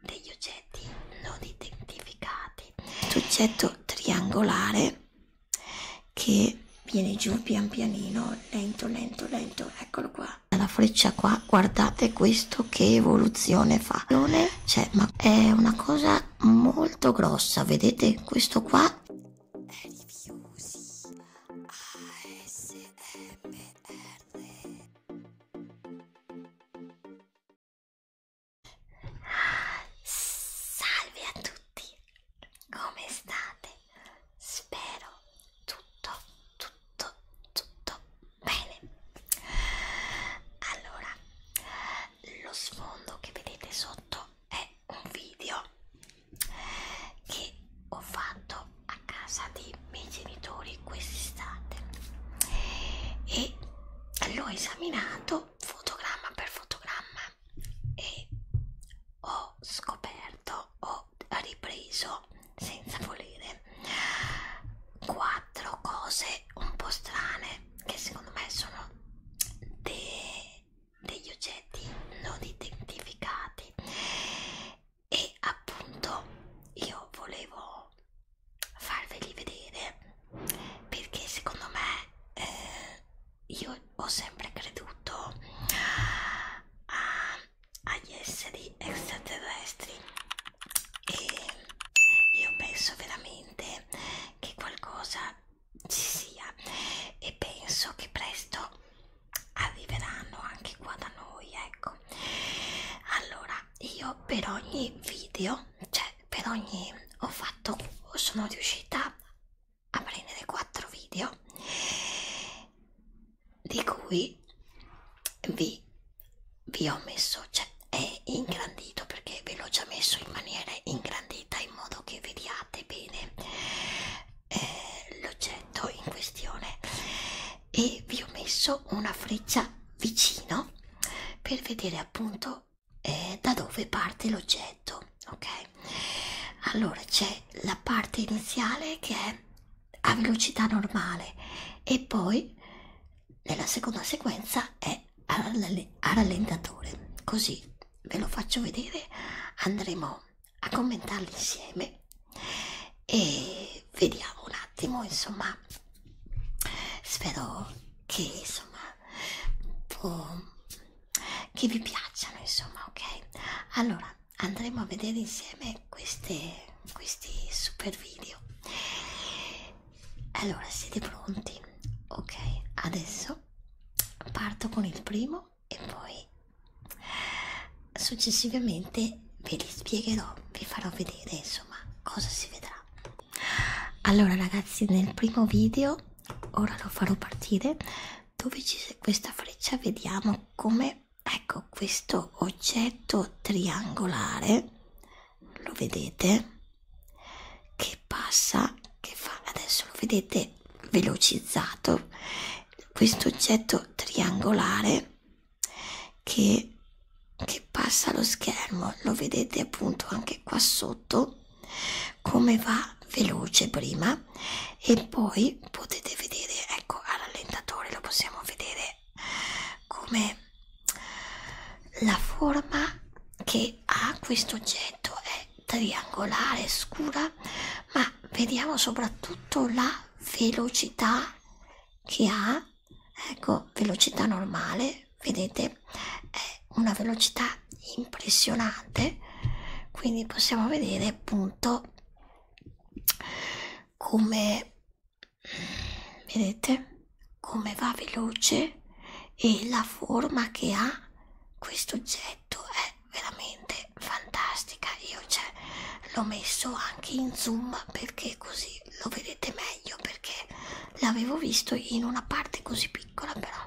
degli oggetti non identificati l'oggetto triangolare che viene giù pian pianino lento lento lento eccolo qua la freccia qua guardate questo che evoluzione fa non è cioè ma è una cosa molto grossa vedete questo qua è Rifiusi ASMR Salve a tutti, come state? Spero tutto, tutto, tutto bene. Allora, lo sfondo che vedete sotto è un video che ho fatto a casa dei miei genitori quest'estate e l'ho esaminato fotogramma per fotogramma e ho scoperto, ho ripreso senza volere quattro cose un po' strane che secondo me sono de degli oggetti non identificati e appunto io volevo farveli vedere perché secondo me eh, io ho sempre creduto a, agli esseri extraterrestri e io penso veramente che qualcosa ci sia e penso che presto arriveranno anche qua da noi ecco ecco allora io per ogni video cioè per ogni ho fatto sono riuscita a prendere 4 video di cui vi, vi ho messo cioè è ingrandito perché ve l'ho già messo in maniera ingrandita in modo che vediate bene eh, l'oggetto in questione e vi ho messo una freccia vicino per vedere appunto eh, da dove parte l'oggetto ok allora c'è la parte iniziale che è a velocità normale e poi nella seconda sequenza è a rallentatore così ve lo faccio vedere andremo a commentarli insieme e vediamo un attimo insomma spero che insomma che vi piacciono insomma ok allora andremo a vedere insieme queste, questi super video allora siete pronti ok adesso parto con il primo e poi Successivamente ve li spiegherò, vi farò vedere insomma cosa si vedrà. Allora ragazzi nel primo video, ora lo farò partire, dove c'è questa freccia vediamo come, ecco questo oggetto triangolare, lo vedete? Che passa, che fa, adesso lo vedete velocizzato, questo oggetto triangolare che, che passa lo schermo lo vedete appunto anche qua sotto come va veloce prima e poi potete vedere ecco al rallentatore lo possiamo vedere come la forma che ha questo oggetto è triangolare scura ma ma vediamo soprattutto la velocità che ha ecco velocità normale vedete è una velocità impressionante quindi possiamo vedere appunto come vedete come va veloce e la forma che ha questo oggetto è ecco, veramente fantastica io cioè, l'ho messo anche in zoom perché così lo vedete meglio perché l'avevo visto in una parte così piccola però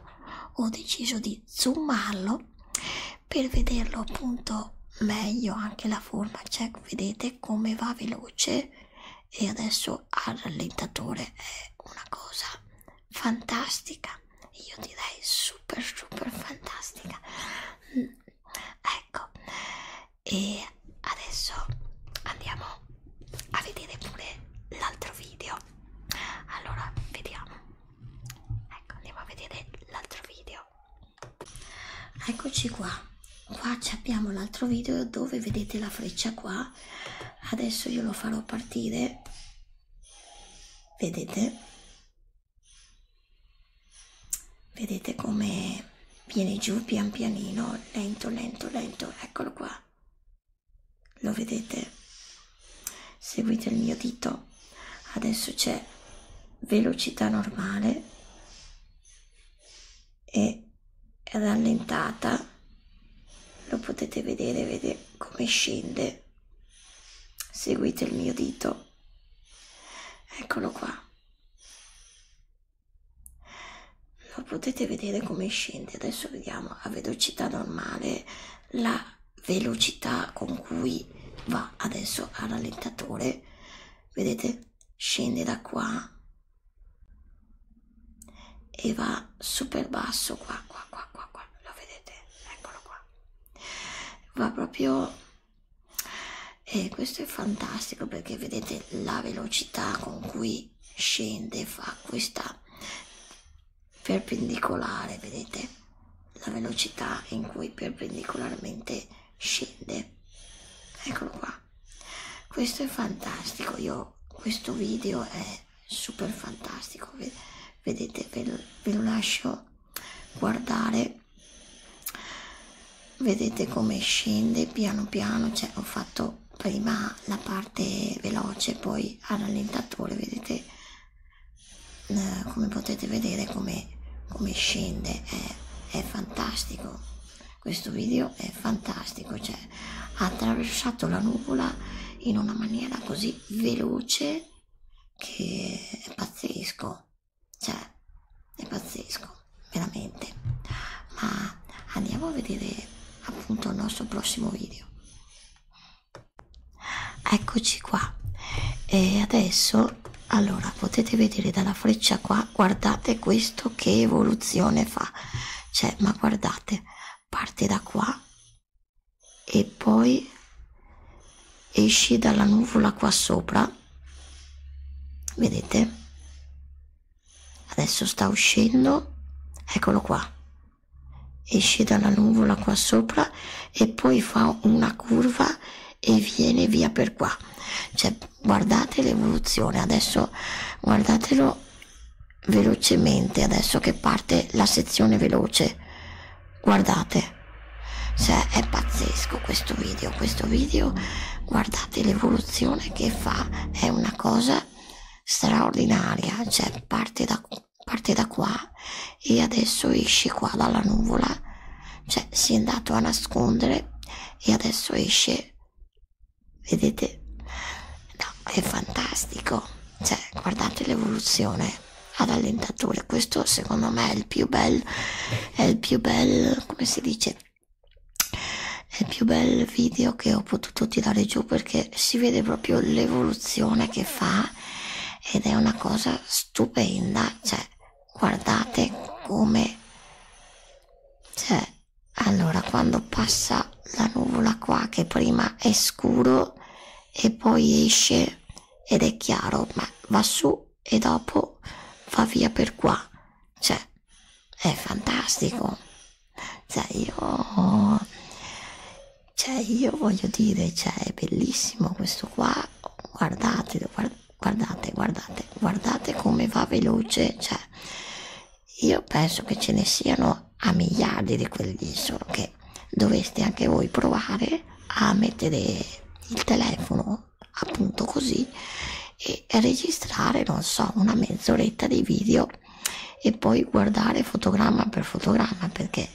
ho deciso di zoomarlo per vederlo appunto meglio anche la forma cioè vedete come va veloce e adesso al rallentatore è una cosa fantastica io direi super super fantastica ecco e adesso andiamo a vedere pure l'altro video allora vediamo ecco andiamo a vedere l'altro video eccoci qua qua abbiamo l'altro video dove vedete la freccia qua adesso io lo farò partire vedete Vedete come viene giù pian pianino, lento, lento, lento, eccolo qua. Lo vedete? Seguite il mio dito. Adesso c'è velocità normale e rallentata. Lo potete vedere, vedete come scende Seguite il mio dito. Eccolo qua. Lo potete vedere come scende. Adesso vediamo a velocità normale la velocità con cui va adesso al rallentatore. Vedete? Scende da qua e va super basso qua, qua, qua, qua, qua. Lo vedete? Eccolo qua va proprio e questo è fantastico perché vedete la velocità con cui scende fa questa perpendicolare vedete la velocità in cui perpendicolarmente scende eccolo qua questo è fantastico io questo video è super fantastico vedete ve lo, ve lo lascio guardare vedete come scende piano piano cioè ho fatto prima la parte veloce poi al rallentatore vedete eh, come potete vedere come, come scende è, è fantastico questo video è fantastico cioè ha attraversato la nuvola in una maniera così veloce che è pazzesco, cioè è pazzesco, veramente. Ma andiamo a vedere appunto il nostro prossimo video. Eccoci qua. E adesso, allora, potete vedere dalla freccia qua, guardate questo che evoluzione fa. Cioè, ma guardate, parte da qua e poi esci dalla nuvola qua sopra vedete adesso sta uscendo eccolo qua esce dalla nuvola qua sopra e poi fa una curva e viene via per qua cioè guardate l'evoluzione adesso guardatelo velocemente adesso che parte la sezione veloce guardate cioè è pazzesco questo video questo video guardate l'evoluzione che fa è una cosa straordinaria cioè parte da, parte da qua e adesso esce qua dalla nuvola cioè si è andato a nascondere e adesso esce vedete no è fantastico cioè, guardate l'evoluzione ad allentatore. Questo secondo me è il più bel, è il più bel, come si dice, è il più bel video che ho potuto tirare giù perché si vede proprio l'evoluzione che fa ed è una cosa stupenda. Cioè, guardate come cioè allora quando passa la nuvola qua che prima è scuro e poi esce ed è chiaro, ma va su e dopo va via per qua. Cioè, è fantastico. Cioè, io... Cioè, io voglio dire, cioè, è bellissimo questo qua. Guardate, guardate, guardate, guardate come va veloce. Cioè, io penso che ce ne siano a miliardi di quelli lì, solo che dovreste anche voi provare a mettere il telefono appunto così e registrare, non so, una mezz'oretta di video e poi guardare fotogramma per fotogramma perché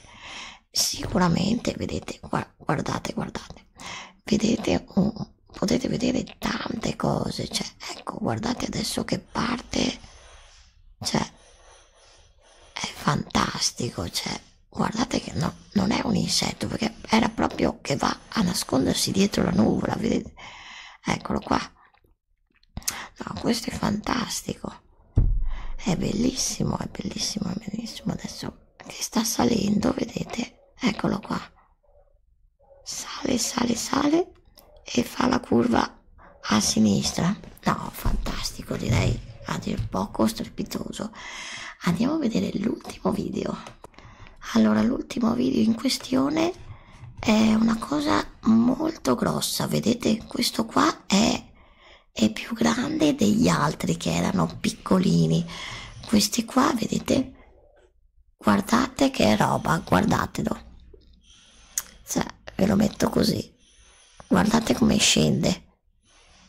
sicuramente vedete, guardate, guardate, vedete un, potete vedere tante cose, cioè ecco, guardate adesso che parte, cioè è fantastico, cioè guardate che no, non è un insetto perché era proprio che va a nascondersi dietro la nuvola, vedete? Eccolo qua. No, questo è fantastico. È bellissimo, è bellissimo, è bellissimo. Adesso che sta salendo, vedete? Eccolo qua. Sale, sale, sale e fa la curva a sinistra no fantastico direi a dir poco strepitoso andiamo a vedere l'ultimo video allora l'ultimo video in questione è una cosa molto grossa vedete questo qua è, è più grande degli altri che erano piccolini questi qua vedete guardate che roba guardatelo cioè, ve lo metto così. Guardate come scende.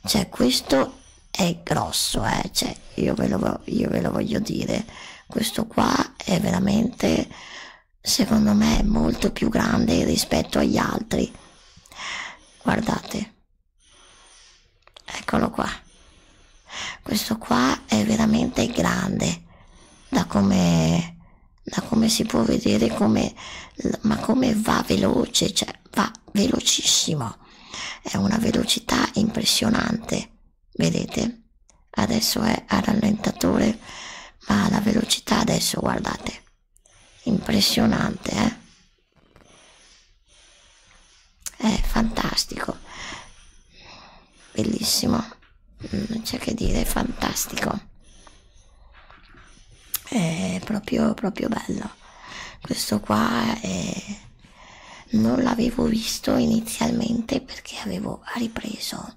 Cioè, questo è grosso, eh. Cioè, io ve, lo, io ve lo voglio dire. Questo qua è veramente, secondo me, molto più grande rispetto agli altri. Guardate. Eccolo qua. Questo qua è veramente grande. Da come da come si può vedere come, ma come va veloce, cioè va velocissimo, è una velocità impressionante, vedete? Adesso è a rallentatore, ma la velocità adesso guardate, impressionante, eh? È fantastico bellissimo non mm, c'è che dire fantastico è proprio proprio bello questo qua è... Eh, non l'avevo visto inizialmente perché avevo ripreso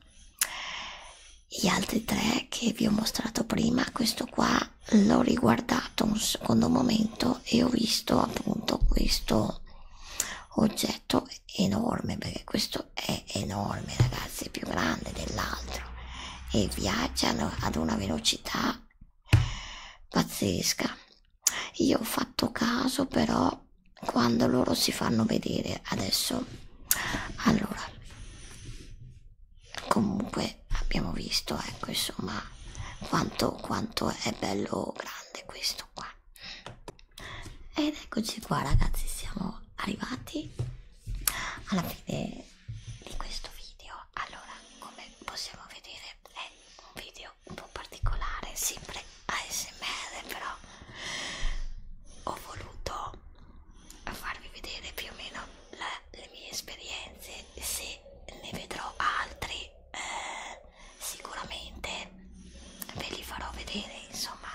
gli altri tre che vi ho mostrato prima questo qua l'ho riguardato un secondo momento e ho visto appunto questo oggetto enorme perché questo è enorme ragazzi è più grande dell'altro e viaggiano ad una velocità pazzesca io ho fatto caso però quando loro si fanno vedere adesso allora comunque abbiamo visto ecco insomma quanto, quanto è bello grande questo qua ed eccoci qua ragazzi, siamo arrivati alla fine di questo video. Allora, come possiamo vedere è un video un po' particolare, sempre ASMR però ho voluto farvi vedere più o meno la, le mie esperienze, se ne vedrò altri eh, sicuramente ve li farò vedere insomma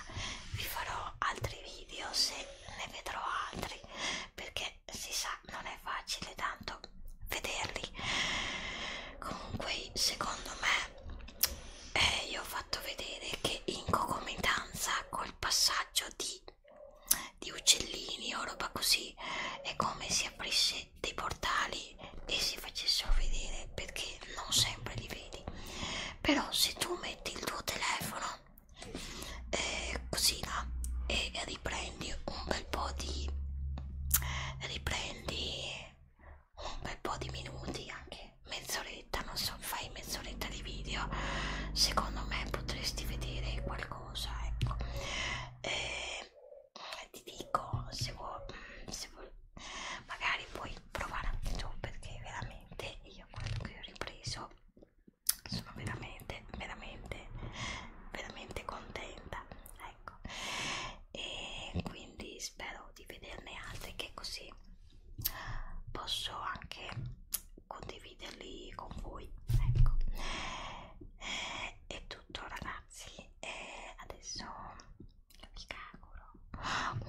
vi farò altri video se ne vedrò altri perché si sa non è facile tanto vederli comunque secondo me eh, io ho fatto vedere che in concomitanza col passaggio di, di uccellini o roba così è come si aprisse dei portali lì e si facessero vedere perché non sempre li vedi però se tu metti il tuo telefono eh, così là e riprendi un bel po' di riprendi un bel po' di minuti anche mezz'oretta non so fai mezz'oretta di video secondo me potresti vedere qualcosa ecco eh, ti dico se vuoi se vuoi magari puoi provare anche tu perché veramente io quello che ho ripreso sono veramente veramente veramente contenta ecco e quindi spero di vederne altre che così posso anche condividerli con voi ecco eh, è tutto ragazzi e eh, adesso io vi auguro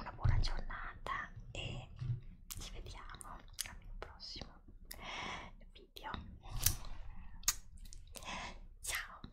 una buona giornata e ci vediamo al mio prossimo video ciao